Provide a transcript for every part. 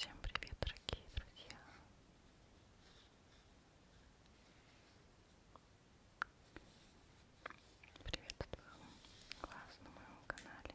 Всем привет, дорогие друзья! Приветствую вас на моем канале.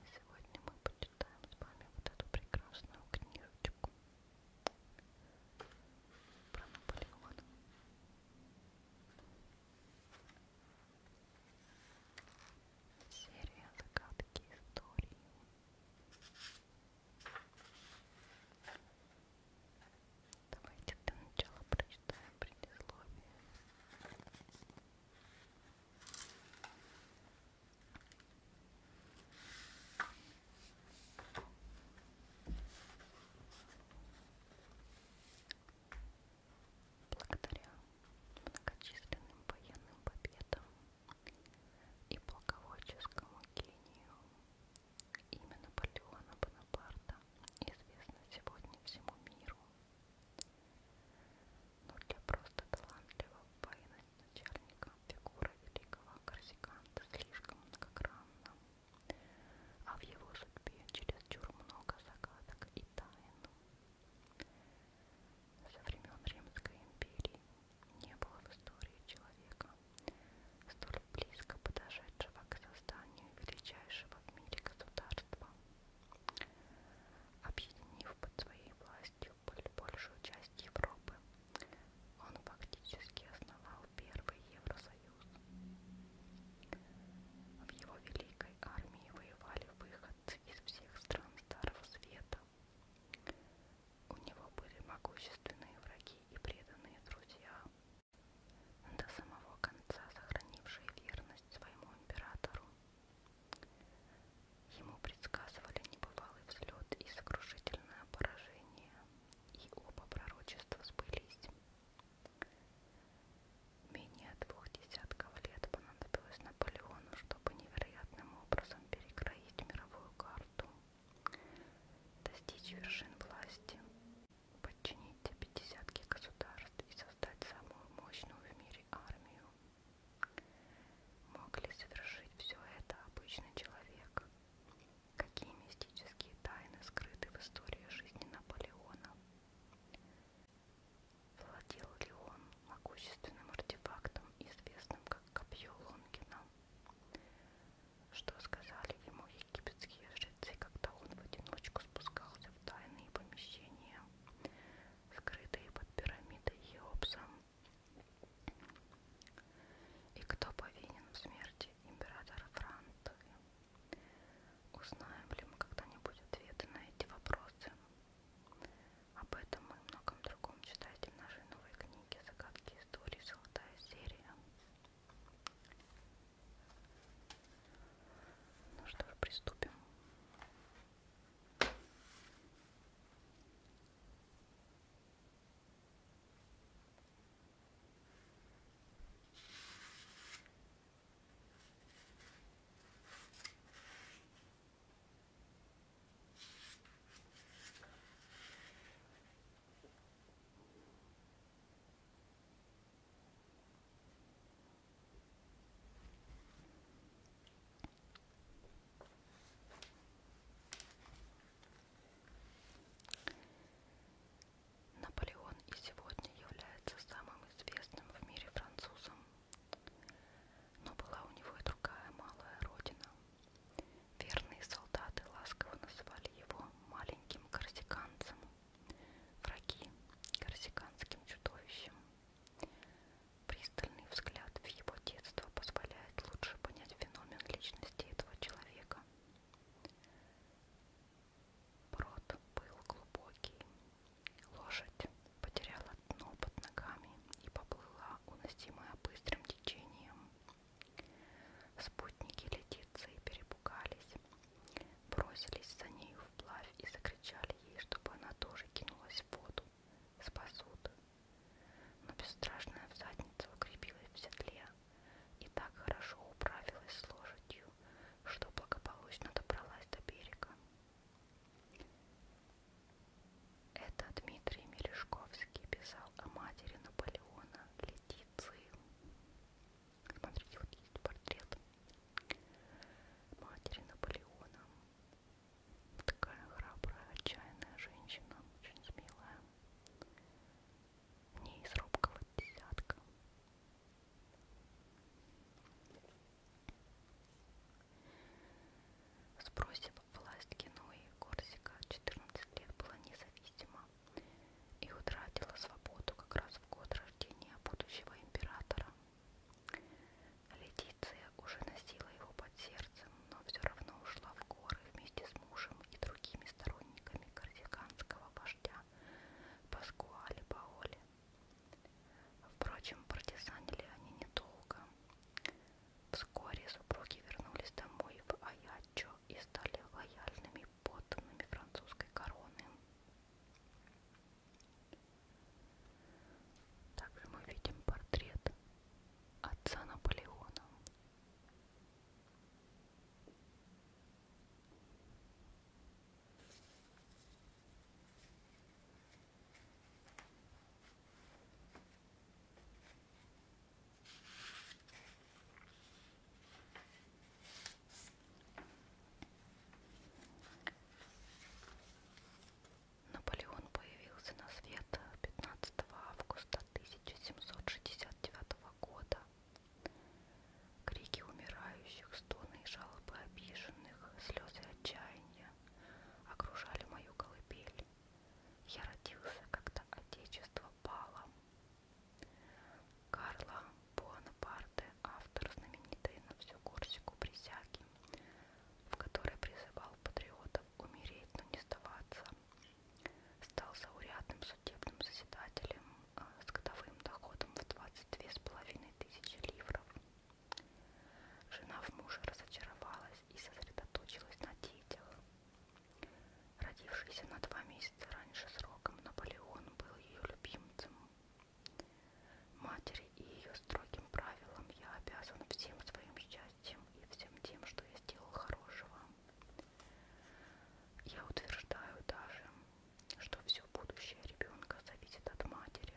И сегодня мы почитаем с вами вот эту прекрасную книжечку про Наполеона. Серия загадки истории. Давайте для начала прочитаем предисловие. Благодаря многочисленным военным победам и полководческому гению имя Наполеона Бонапарта известна сегодня всему миру. Но для просто талантливого военачальника фигура великого корсиканта слишком многогранна, а в его судьбе чересчур много загадок и тайн. Со времен Римской империи не было в истории человека, столь близко подошедшего к созданию величайшего в мире государства, объединив под своей властью большую часть Европы. Он фактически основал первый Евросоюз. В его великой армии воевали выходцы из всех стран Старого Света. У него были могущественные враги и преданные друзья, до самого конца сохранившие верность своему императору. Ему предсказывали небывалый взлет и сокрушительное поражение, и оба пророчества сбылись. Менее двух десятков лет понадобилось Наполеону, чтобы невероятным образом перекроить мировую карту, достичь вершин власти подчинить пятидесятки государств и создать самую мощную в мире армию. Мог ли совершить все это обычный человек? Какие мистические тайны скрыты в истории жизни Наполеона? Владел ли он могущественным артефактом, известным как копье Лонгина? Что сказали ему египетские жрецы, когда он в одиночку спускался в тайные помещения, скрытые под пирамидой Хеопса. И кто повинен в смерти императора Франции? Узнаем ли мы когда-нибудь ответы на эти вопросы? Об этом и многом другом читайте в нашей новой книге «Загадки истории. Золотая серия». Ну что ж, приступим. Наполеон и сегодня является самым известным в мире французом, но была у него и другая малая родина. Верные солдаты ласково называли его маленьким корсиканцем. Враги корсиканским чудовищем. Пристальный взгляд в его детство позволяет лучше понять феномен личности этого человека. Брод был глубокий. Лошадь потеряла дно под ногами и поплыла, уносимая быстрым течением. Спутники летицы и перепугались. Бросились за нею вплавь и закричали ей, чтобы она тоже кинулась в воду. Спасут. Но бесстрашная всадница укрепилась в седле и так хорошо управилась с лошадью, что благополучно добралась до берега. Это Дмитрий Мережковский писал о матери Наполеона Летиции. Смотрите, вот есть портрет матери Наполеона. Такая храбрая, отчаянная женщина, очень смелая. Не из робкого десятка. Сбросив власть Генуи, Корсика 14 лет была независима и утратила свободу как раз в год рождения будущего императора. Летиция уже носила его под сердцем, но все равно ушла в горы вместе с мужем и другими сторонниками корсиканского вождя Паскуале Паоле. Впрочем, партизанили они недолго. Вскоре супруги вернулись домой в Аячо, и стали лояльными подданными французской короны. Также мы видим портрет отца Наполеона. Наполеон появился на свет 15 августа 1769 года. Крики умирающих, стоны и жалобы обиженных, слезы отчаяния окружали мою колыбель. Я родился, когда Отечество пало, Карла Буанапарте, автор знаменитой на всю Корсику присяги, в которой призывал патриотов умереть, но не сдаваться, стал заурядным судебным заседателем э, с годовым доходом в 22,5 тысячи ливров. Жена в муже разочаровалась и сосредоточилась на детях. Родившийся на два месяца раньше сроком, Наполеон был ее любимцем. Матери и ее строгим правилам я обязан всем своим счастьем и всем тем, что я сделал хорошего. Я утверждаю даже, что все будущее ребенка зависит от матери,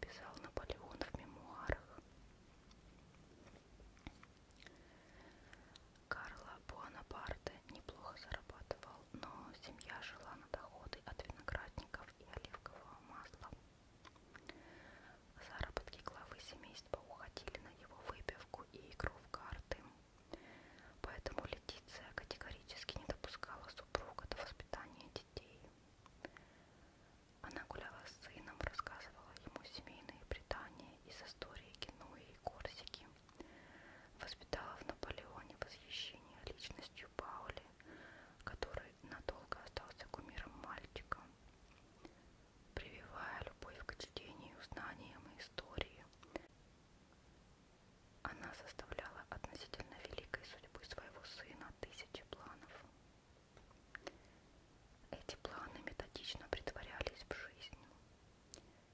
писал Наполеон в мемуарах. Карла Буанапарте неплохо зарабатывал, но семья жила на доходы от виноградников и оливкового масла. Заработки главы семейства уходили на его выпивку и игру в карты. Поэтому Летиция категорически не допускала супруга до воспитания детей. Она гуляла с сыном, рассказывала ему семейные предания из истории Генуи и Корсики. Воспитала в Наполеоне восхищение личностью Паули, который надолго остался кумиром мальчика, прививая любовь к чтению, знаниям и истории. Она составляла относительно великой судьбы своего сына тысячи планов. Эти планы методично притворялись в жизнь.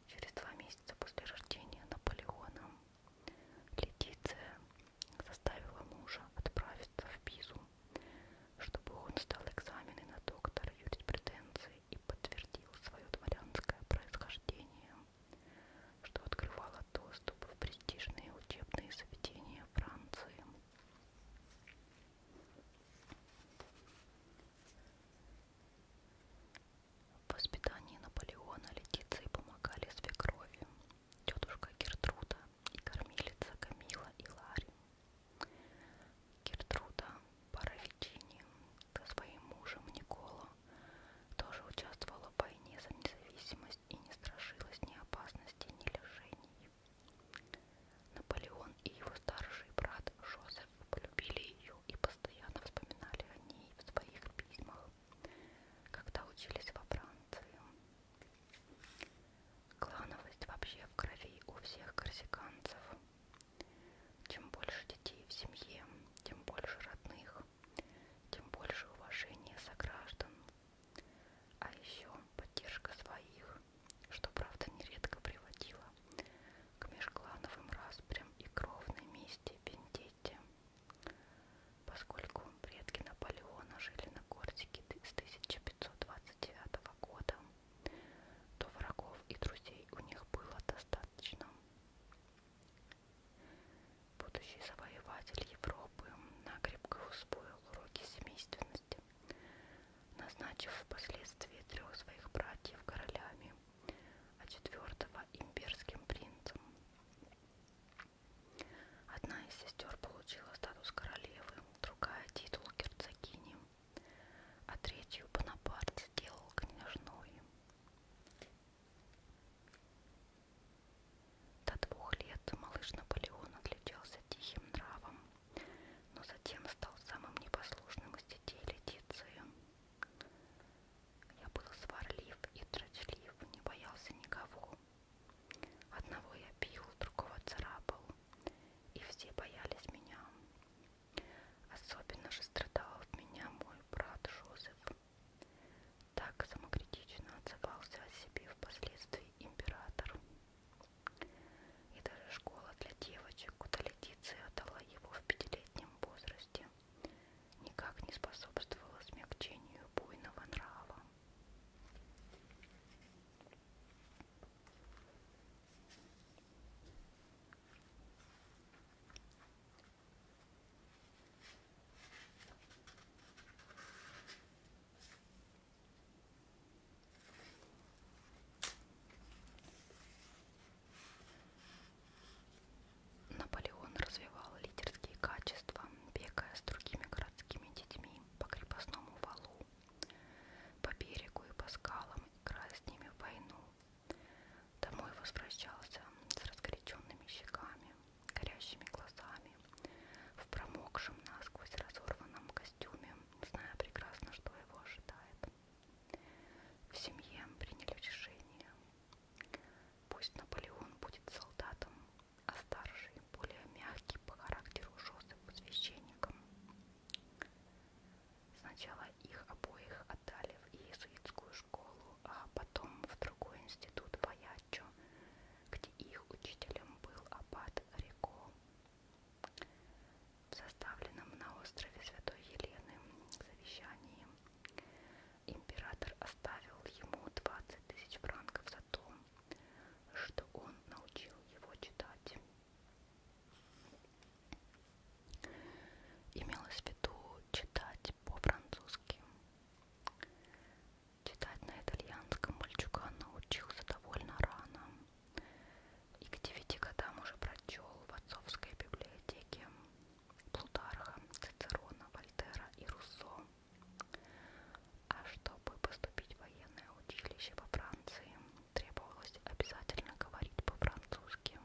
Через два месяца после рождения Наполеона Летиция заставила мужа отправиться в Пизу, чтобы он сдал экзамены на доктора юриспруденции и подтвердил свое дворянское происхождение, что открывало доступ в престижные учебные заведения Франции. В воспитании Наполеона Летиции помогали свекрови, тетушка Гертруда и кормилица Камила и Ларри. Гертруда Паравичини со своим мужем Николо тоже участвовала в войне за независимость и не страшилась ни опасности, ни лишений. Наполеон и его старший брат Жозе полюбили ее и постоянно вспоминали о ней в своих письмах, когда учились во Франции. Клановость вообще в крови у всех корсиканцев. Чем больше детей в семье, тем больше родных, тем больше уважения сограждан, а еще поддержка своих, что правда нередко приводило к межклановым распрям и кровной мести Вендетте. Поскольку предки Наполеона жили на Корсике с 1529 года, то врагов и друзей у них было достаточно. Будущий завоеватель Европы накрепко усвоил уроки семейственности, назначив впоследствии трех своих братьев королями а четвертого имперским принцем. Одна из сестер получила статус королевы, другая титул герцогини, а третью Бонапарт сделал княжной. До двух лет малыш Наполеон отличался тихим нравом, но затем стал самым непослушным из детей Летиции. Я был сварлив и трочлив, не боялся никого. Одного я бил, другого царапал, и все боялись меня. Особенно же страдал в меня мой брат Жозеф. Так самокритично отзывался о себе впоследствии император. И даже школа для девочек, куда Летиция отдала его в пятилетнем возрасте, никак не способствовала смягчению буйного нрава. Наполеон развивал лидерские качества, бегая с другими городскими детьми по крепостному валу, по берегу и по скалам, играя с ними в войну. Домой возвращался с разгоряченными щеками, горящими глазами, в промокшем насквозь разорванном костюме, зная прекрасно, что его ожидает. В семье приняли решение. Пусть Наполеон будет солдатом, а старший, более мягкий по характеру Жозеф священником. Сначала их обоих отдали в иезуитскую школу, а потом в другой институт Ваячо, где их учителем был аббат Рико составленном на острове Святой Елены завещании император оставил ему 20 тысяч франков за то, что он научил его читать. Имелось в виду читать по-французски. Читать на итальянском мальчуган научился довольно рано и к девяти годам уже прочел в отцовской библиотеке Плутарха, Цицерона, Вольтера и Руссо. А чтобы поступить в военное училище во Франции, требовалось обязательно говорить по-французски.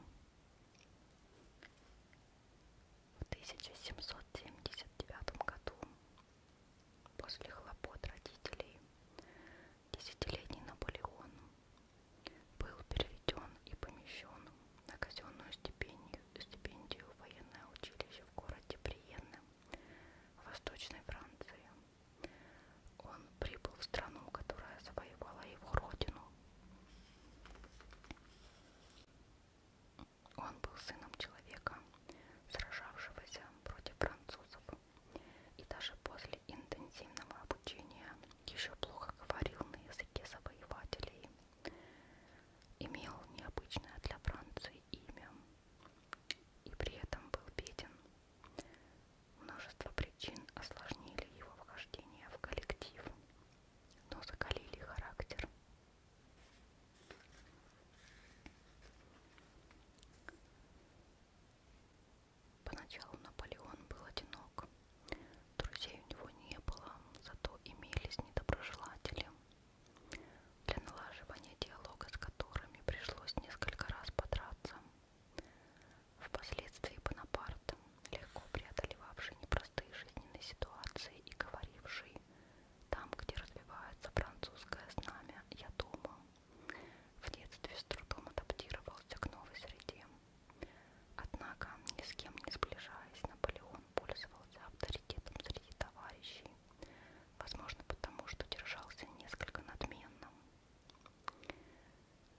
В 1779 году, после хлопот родителей, Десятилетний Наполеон был переведен и помещен на казенную стипендию, стипендию в военное училище в городе Бриенне, Восточной Франции. Он прибыл в страну, которая завоевала его родину. Он был сыном человека, сражавшегося против французов. И даже после интенсивного обучения еще плохо говорил на языке завоевателей, имел необычное для Франции имя и при этом был беден. Множество причин осложнили его вхождение в коллектив, но закалили характер. Поначалу Наполеон был одинок. Друзей у него не было, зато имелись недоброжелатели, для налаживания диалога с которыми пришлось несколько раз подраться. Впоследствии Бонапарт, легко преодолевавший непростые жизненные ситуации и говоривший «Там, где развивается французское знамя, я дома», в детстве с трудом адаптировался к новой среде. Однако, ни с кем не сближаясь, Наполеон пользовался авторитетом среди товарищей, возможно, потому что держался несколько надменно.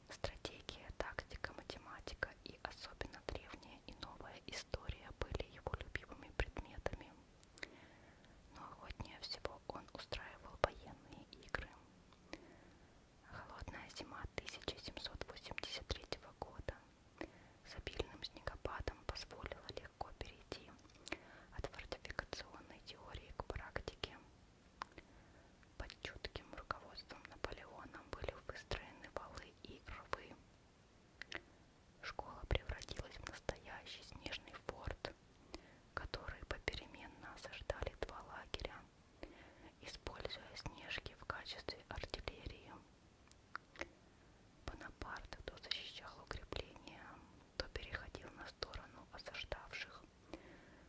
Стратегия, тактика, математика и особенно древняя и новая история были его любимыми предметами, но охотнее всего он устраивал военные игры. Холодная зима 1783 года с обильным снегопадом позволила легко перейти от фортификационной теории к практике. Под чутким руководством Наполеона были выстроены валы и рвы. Школа превратилась в настоящий снежный форт, который попеременно осаждали два лагеря используя снежки в качестве артиллерии. Бонапарт то защищал укрепления, то переходил на сторону осаждавших,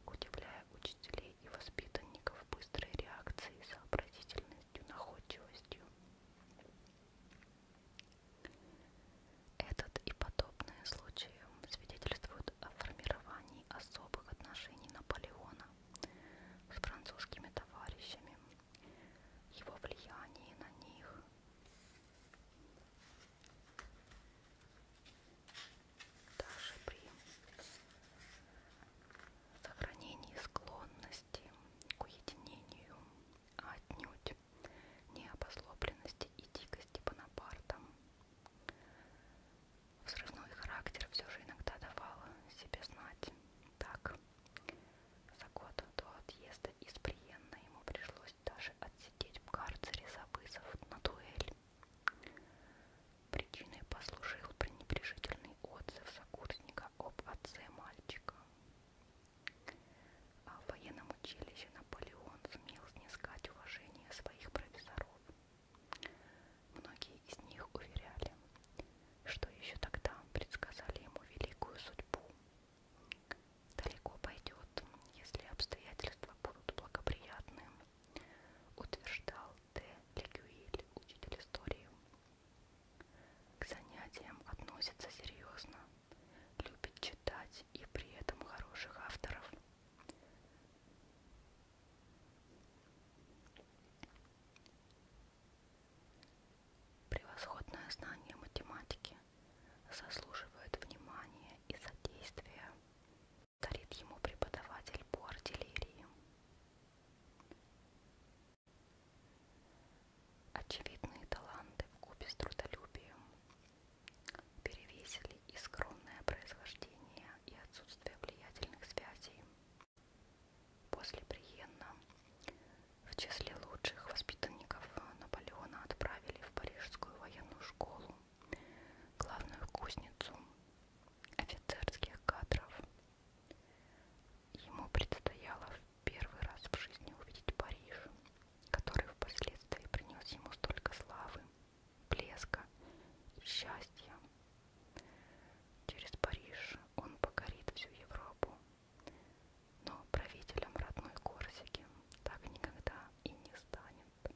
удивляя учителей и воспитанников быстрой реакцией, сообразительностью, находчивостью. Этот и подобные случаи свидетельствуют о формировании особых отношений Наполеона с французскими товарищами, его влиянии на них. Даже при сохранении склонности к уединению, а отнюдь необослопленности и дикости Бонапарта, Взрывной характер все же иногда давала себе знать. Так, за год до отъезда из Приенна ему пришлось даже отсидеть в карцере за вызов на дуэль. Причиной послужил пренебрежительный отзыв сокурсника об отце мальчика. А в военном училище Наполеон сумел снискать уважение своих профессоров. Многие из них уверяли, что еще тогда предсказали ему великую судьбу. Далеко пойдет, если обстоятельства будут благоприятны, утверждал Д. Легюиль, учитель истории. К занятиям относится серьезно, любит читать и при этом хороших авторов. Превосходное знание математики заслуживает внимания и содействия, дарит ему преподаватель по артиллерии. Очевидные таланты в купе с трудолюбием перевесили влияли и скромное происхождение, и отсутствие влиятельных связей. После Приенна в числе лучших воспитанников Наполеона отправили в Парижскую военную школу, главную кузницу офицерских кадров. Ему предстояло в первый раз в жизни увидеть Париж, который впоследствии принес ему столько славы блеска, счастья. Через Париж он покорит всю Европу. Но правителем родной Корсики так никогда и не станет.